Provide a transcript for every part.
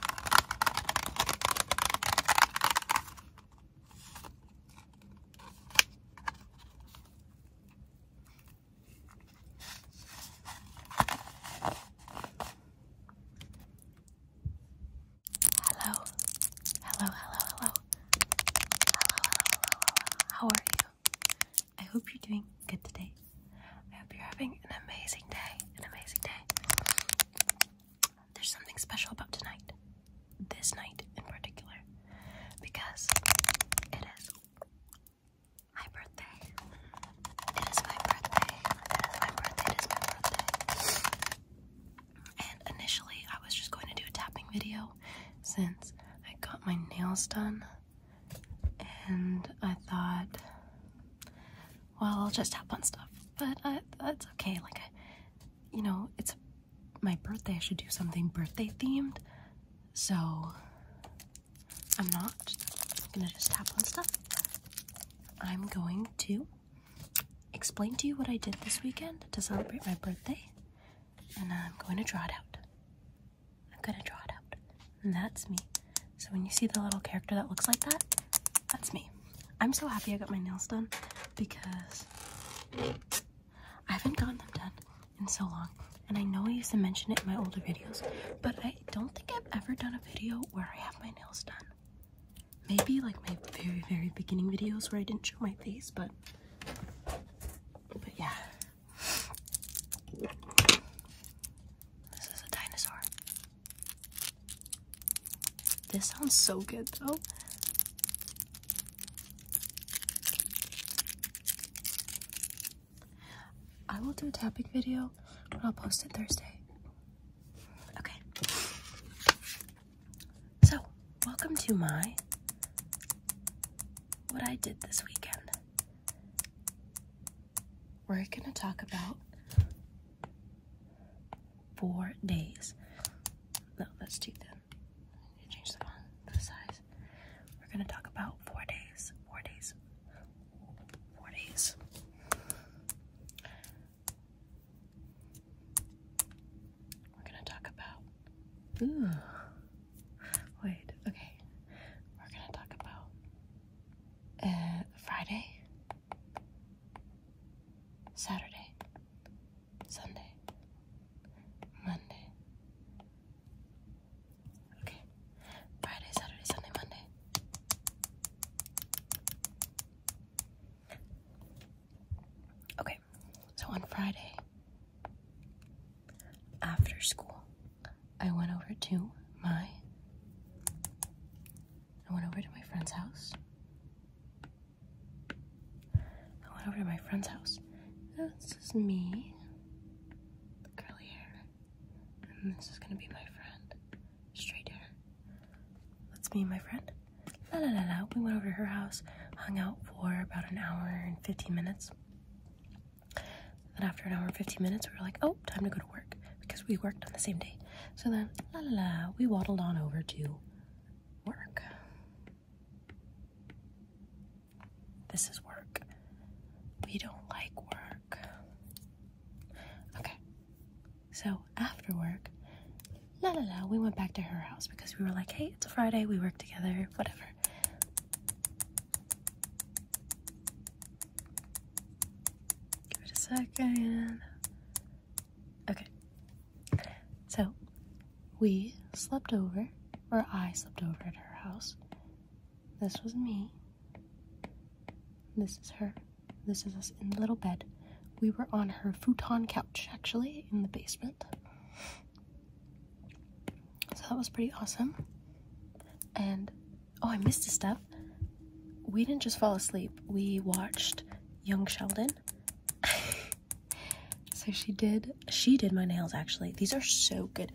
Hello. Hello, hello, hello. Hello, hello, hello, hello, hello. How are you? I hope you're doing good today. I hope you're having an amazing day. An amazing day there's something special about tonight, this night in particular, because it is my birthday. It is my birthday. It is my birthday. It is my birthday. And initially, I was just going to do a tapping video since I got my nails done, and I thought well, I'll just tap on stuff. But uh, that's okay. Like, you know, it's my birthday. I should do something birthday themed. So I'm not gonna just tap on stuff. I'm going to explain to you what I did this weekend to celebrate my birthday, and I'm going to draw it out. I'm gonna draw it out, and that's me so when you see the little character that looks like that, that's me. I'm so happy I got my nails done because I haven't gotten them done in so long. And I know I used to mention it in my older videos, but I don't think I've ever done a video where I have my nails done. Maybe like my very, very beginning videos where I didn't show my face, but, but yeah. This is a dinosaur. This sounds so good though. I will do a tapping video, but I'll post it Thursday. Okay. So, welcome to my what I did this weekend we're going to talk about four days. No, that's too thin. We're going to talk about four days. Four days. Four days. We're going to talk about. Ooh. Wait, okay. We're going to talk about uh, Friday. Saturday, Sunday, Monday. Okay. Friday, Saturday, Sunday, Monday. Okay, so on Friday, after school, I went over to my I went over to my friend's house. I went over to my friend's house. This is me, curly hair, and this is gonna be my friend, straight hair. That's me and my friend. La la la la. We went over to her house, hung out for about an hour and 15 minutes. Then after an hour and 15 minutes, we were like, oh, time to go to work because we worked on the same day. So then, la la la, we waddled on over to work. This is work. We don't like work. Okay. So after work, la la la, we went back to her house because we were like, hey, it's a Friday, we work together, whatever. Give it a second. Okay. So we slept over, or I slept over at her house. This was me. This is her. This is us in the little bed. We were on her futon couch, actually, in the basement. So that was pretty awesome. And oh, I missed a stuff we didn't just fall asleep, we watched Young Sheldon. so she did she did my nails actually. These are so good.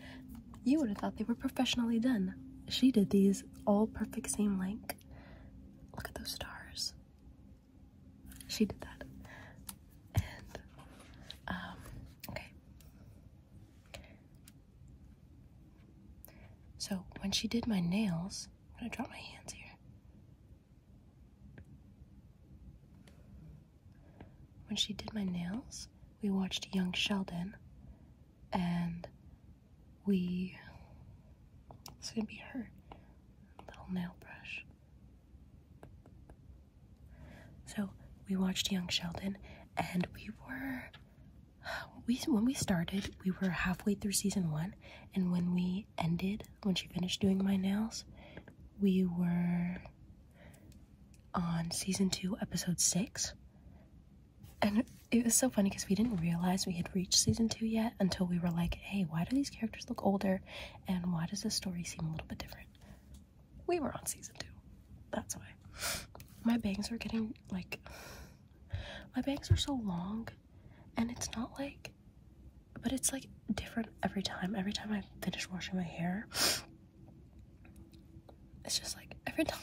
You would have thought they were professionally done. She did these all perfect same length. Look at those stars. She did that. And um, okay. So when she did my nails, I'm gonna drop my hands here. When she did my nails, we watched Young Sheldon and we. It's gonna be her little nail brush. So we watched Young Sheldon and we were we when we started, we were halfway through season one, and when we ended, when she finished doing my nails, we were on season two, episode six. And it was so funny because we didn't realize we had reached season two yet until we were like, hey, why do these characters look older? And why does the story seem a little bit different? We were on season two. That's why. My bangs are getting like, my bangs are so long and it's not like but it's like different every time every time i finish washing my hair it's just like every time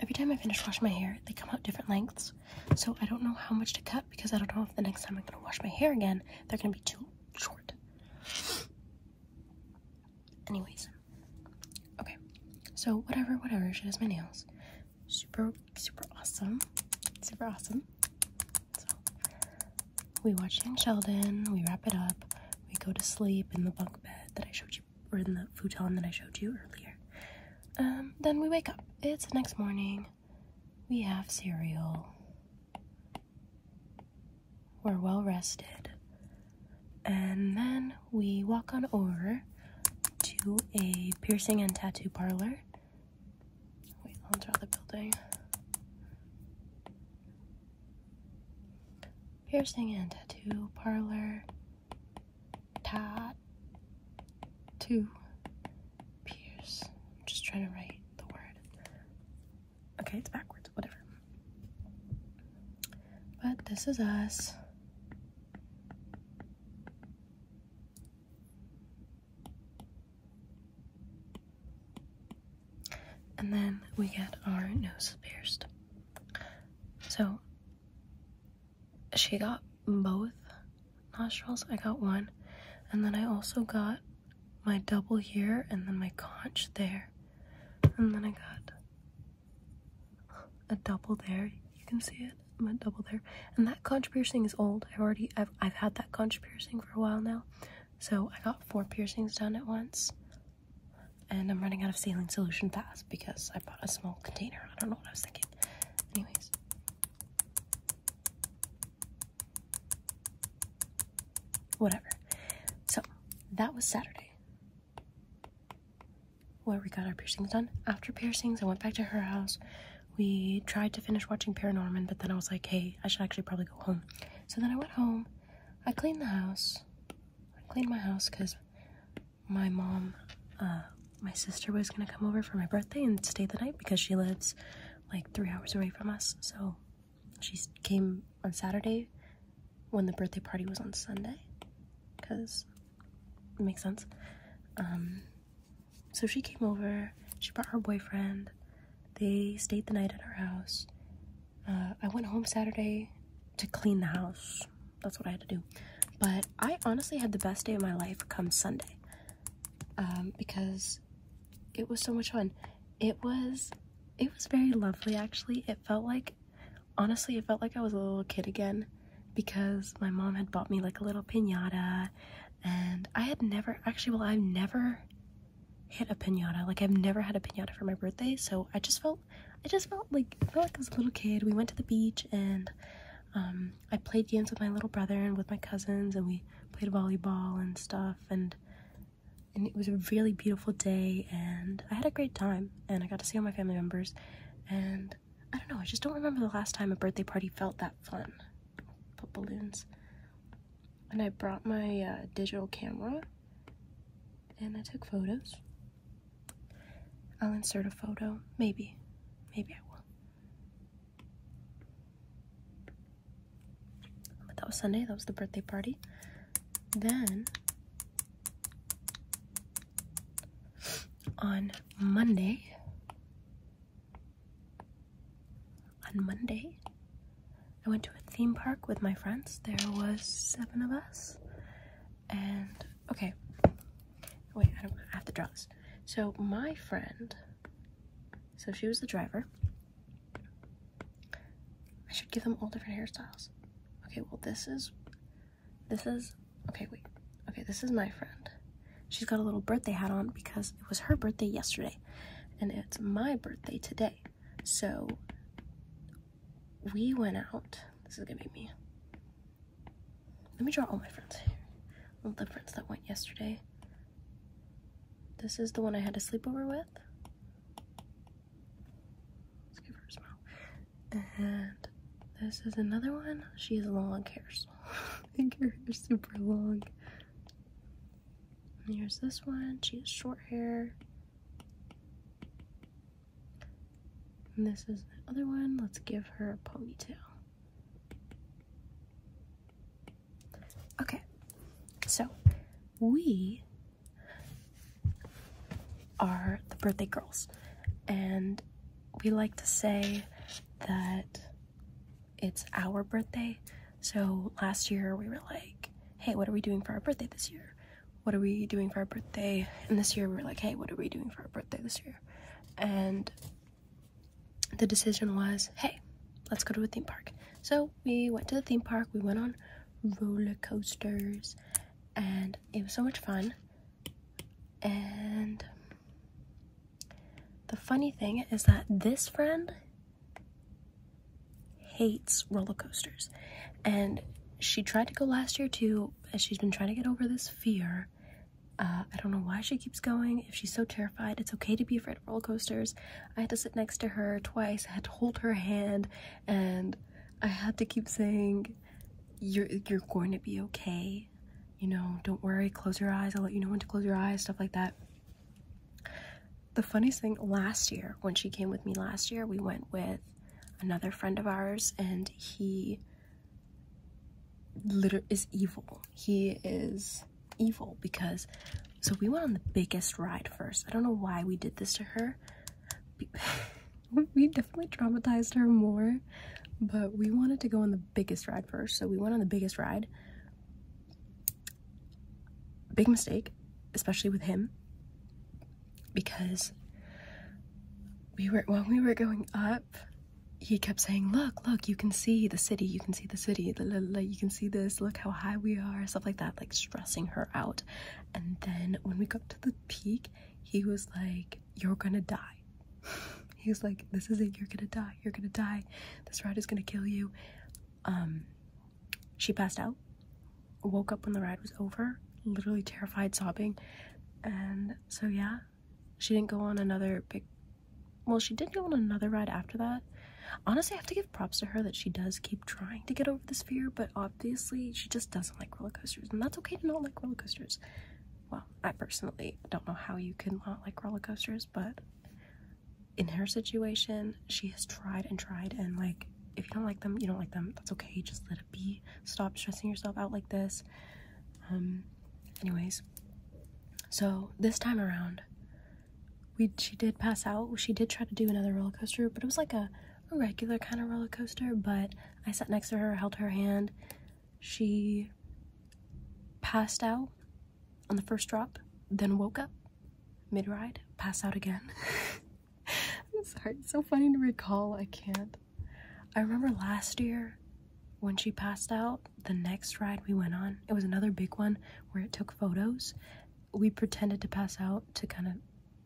every time i finish washing my hair they come out different lengths so i don't know how much to cut because i don't know if the next time i'm going to wash my hair again they're going to be too short anyways Okay, so whatever, whatever. She does my nails. Super, super awesome. Super awesome. So we watch Anne Sheldon. We wrap it up. We go to sleep in the bunk bed that I showed you, or in the futon that I showed you earlier. Um, then we wake up. It's the next morning. We have cereal. We're well rested. And then we walk on over to a piercing and tattoo parlor. Wait, I'll draw the building. Piercing and tattoo parlor. Two. Pierce. I'm just trying to write the word. Okay, it's backwards, whatever. But this is us. And then we get our nose pierced. So she got both nostrils. I got one. And then I also got my double here and then my conch there. And then I got a double there. You can see it. i a double there. And that conch piercing is old. I've already I've I've had that conch piercing for a while now. So I got four piercings done at once. And I'm running out of saline solution fast because I bought a small container. I don't know what I was thinking. Anyways. Whatever. So that was Saturday where we got our piercings done. After piercings, I went back to her house. We tried to finish watching Paranorman, but then I was like, hey, I should actually probably go home. So then I went home. I cleaned the house. cleaned my house because my mom, uh, my sister was going to come over for my birthday and stay the night because she lives like three hours away from us. So she came on Saturday when the birthday party was on Sunday because makes sense. Um, so she came over, she brought her boyfriend, they stayed the night at our house. Uh, I went home Saturday to clean the house. That's what I had to do. But I honestly had the best day of my life come Sunday um, because it was so much fun. It was it was very lovely actually. It felt like honestly, it felt like I was a little kid again because my mom had bought me like a little pinata and I had never actually, well, I've never hit a pinata. Like I've never had a pinata for my birthday. So I just felt, I just felt like, I felt like I was a little kid. We went to the beach and um, I played games with my little brother and with my cousins and we played volleyball and stuff and it was a really beautiful day and I had a great time and I got to see all my family members and I don't know, I just don't remember the last time a birthday party felt that fun. Put balloons. And I brought my uh, digital camera and I took photos. I'll insert a photo. Maybe. Maybe I will. But that was Sunday. That was the birthday party. Then on Monday. On Monday, I went to a theme park with my friends. There was seven of us. And okay. Wait, I don't have to draw this. So my friend, so she was the driver. I should give them all different hairstyles. Okay, well this is this is, okay, wait. Okay, this is my friend. She's got a little birthday hat on because it was her birthday yesterday and it's my birthday today. So we went out. This is gonna be me. Let me draw all my friends here. All the friends that went yesterday. This is the one I had a sleepover with. Let's give her a smile. And this is another one. She has long hair, I think her hair's super long. And here's this one. She has short hair. And this is the other one. Let's give her a ponytail. Okay, so we are the birthday girls, and we like to say that it's our birthday. So last year we were like, hey, what are we doing for our birthday this year? What are we doing for our birthday? And this year we were like, hey, what are we doing for our birthday this year? And the decision was, hey, let's go to a theme park. So we went to the theme park, we went on roller coasters, and it was so much fun. And the funny thing is that this friend hates roller coasters. And she tried to go last year too, As she's been trying to get over this fear. Uh, I don't know why she keeps going. If she's so terrified, it's okay to be afraid of roller coasters. I had to sit next to her twice. I had to hold her hand, and I had to keep saying, you're you're going to be okay you know don't worry close your eyes i'll let you know when to close your eyes stuff like that the funniest thing last year when she came with me last year we went with another friend of ours and he liter is evil he is evil because so we went on the biggest ride first i don't know why we did this to her we definitely traumatized her more, but we wanted to go on the biggest ride first. So we went on the biggest ride. Big mistake, especially with him, because we were when we were going up, he kept saying, "Look, look, you can see the city. You can see the city. you can see this. Look how high we are." Stuff like that, like stressing her out. And then when we got to the peak, he was like, you're gonna die. He was like, This is it, you're gonna die, you're gonna die, this ride is gonna kill you. Um, she passed out, woke up when the ride was over, literally terrified, sobbing. And so, yeah, she didn't go on another big well, she did go on another ride after that. Honestly, I have to give props to her that she does keep trying to get over this fear, but obviously she just doesn't like roller coasters, and that's okay to not like roller coasters well, I personally don't know how you can not like roller coasters, but in her situation, she has tried and tried, and like, if you don't like them, you don't like them. That's okay. Just let it be. Stop stressing yourself out like this. Um, anyways, so this time around, we she did pass out. She did try to do another roller coaster, but it was like a, a regular kind of roller coaster. But I sat next to her, held her hand, she passed out on the first drop, then woke up mid ride, passed out again. I'm sorry, it's so funny to recall. I can't. I remember last year when she passed out, the next ride we went on, it was another big one where it took photos. We pretended to pass out to kind of,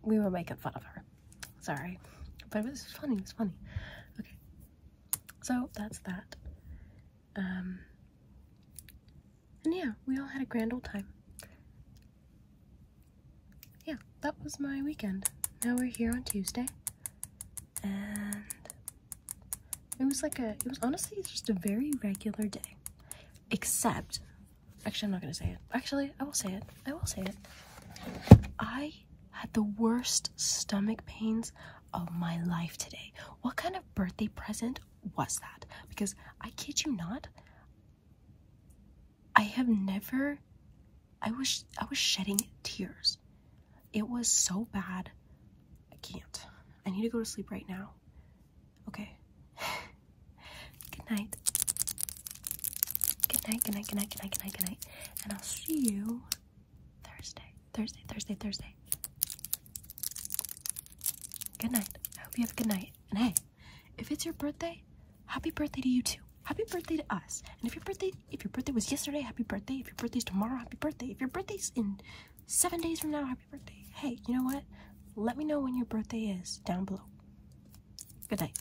we were making fun of her. Sorry, but it was funny. It's funny. Okay, so that's that. Um, and yeah, we all had a grand old time. Yeah, that was my weekend. Now we're here on Tuesday, and it was like a. It was honestly just a very regular day, except. Actually, I'm not gonna say it. Actually, I will say it. I will say it. I had the worst stomach pains of my life today. What kind of birthday present was that? Because I kid you not, I have never I was I was shedding tears. It was so bad. I can't. I need to go to sleep right now. Okay. good night. Good night, good night, good night, good night, good night, good night. And I'll see you Thursday, Thursday, Thursday, Thursday. Good night. I hope you have a good night. And hey, if it's your birthday, happy birthday to you too. Happy birthday to us. And if your birthday, if your birthday was yesterday, happy birthday. If your birthday's tomorrow, happy birthday. If your birthday's in seven days from now, happy birthday. Hey, you know what? Let me know when your birthday is down below. Good night.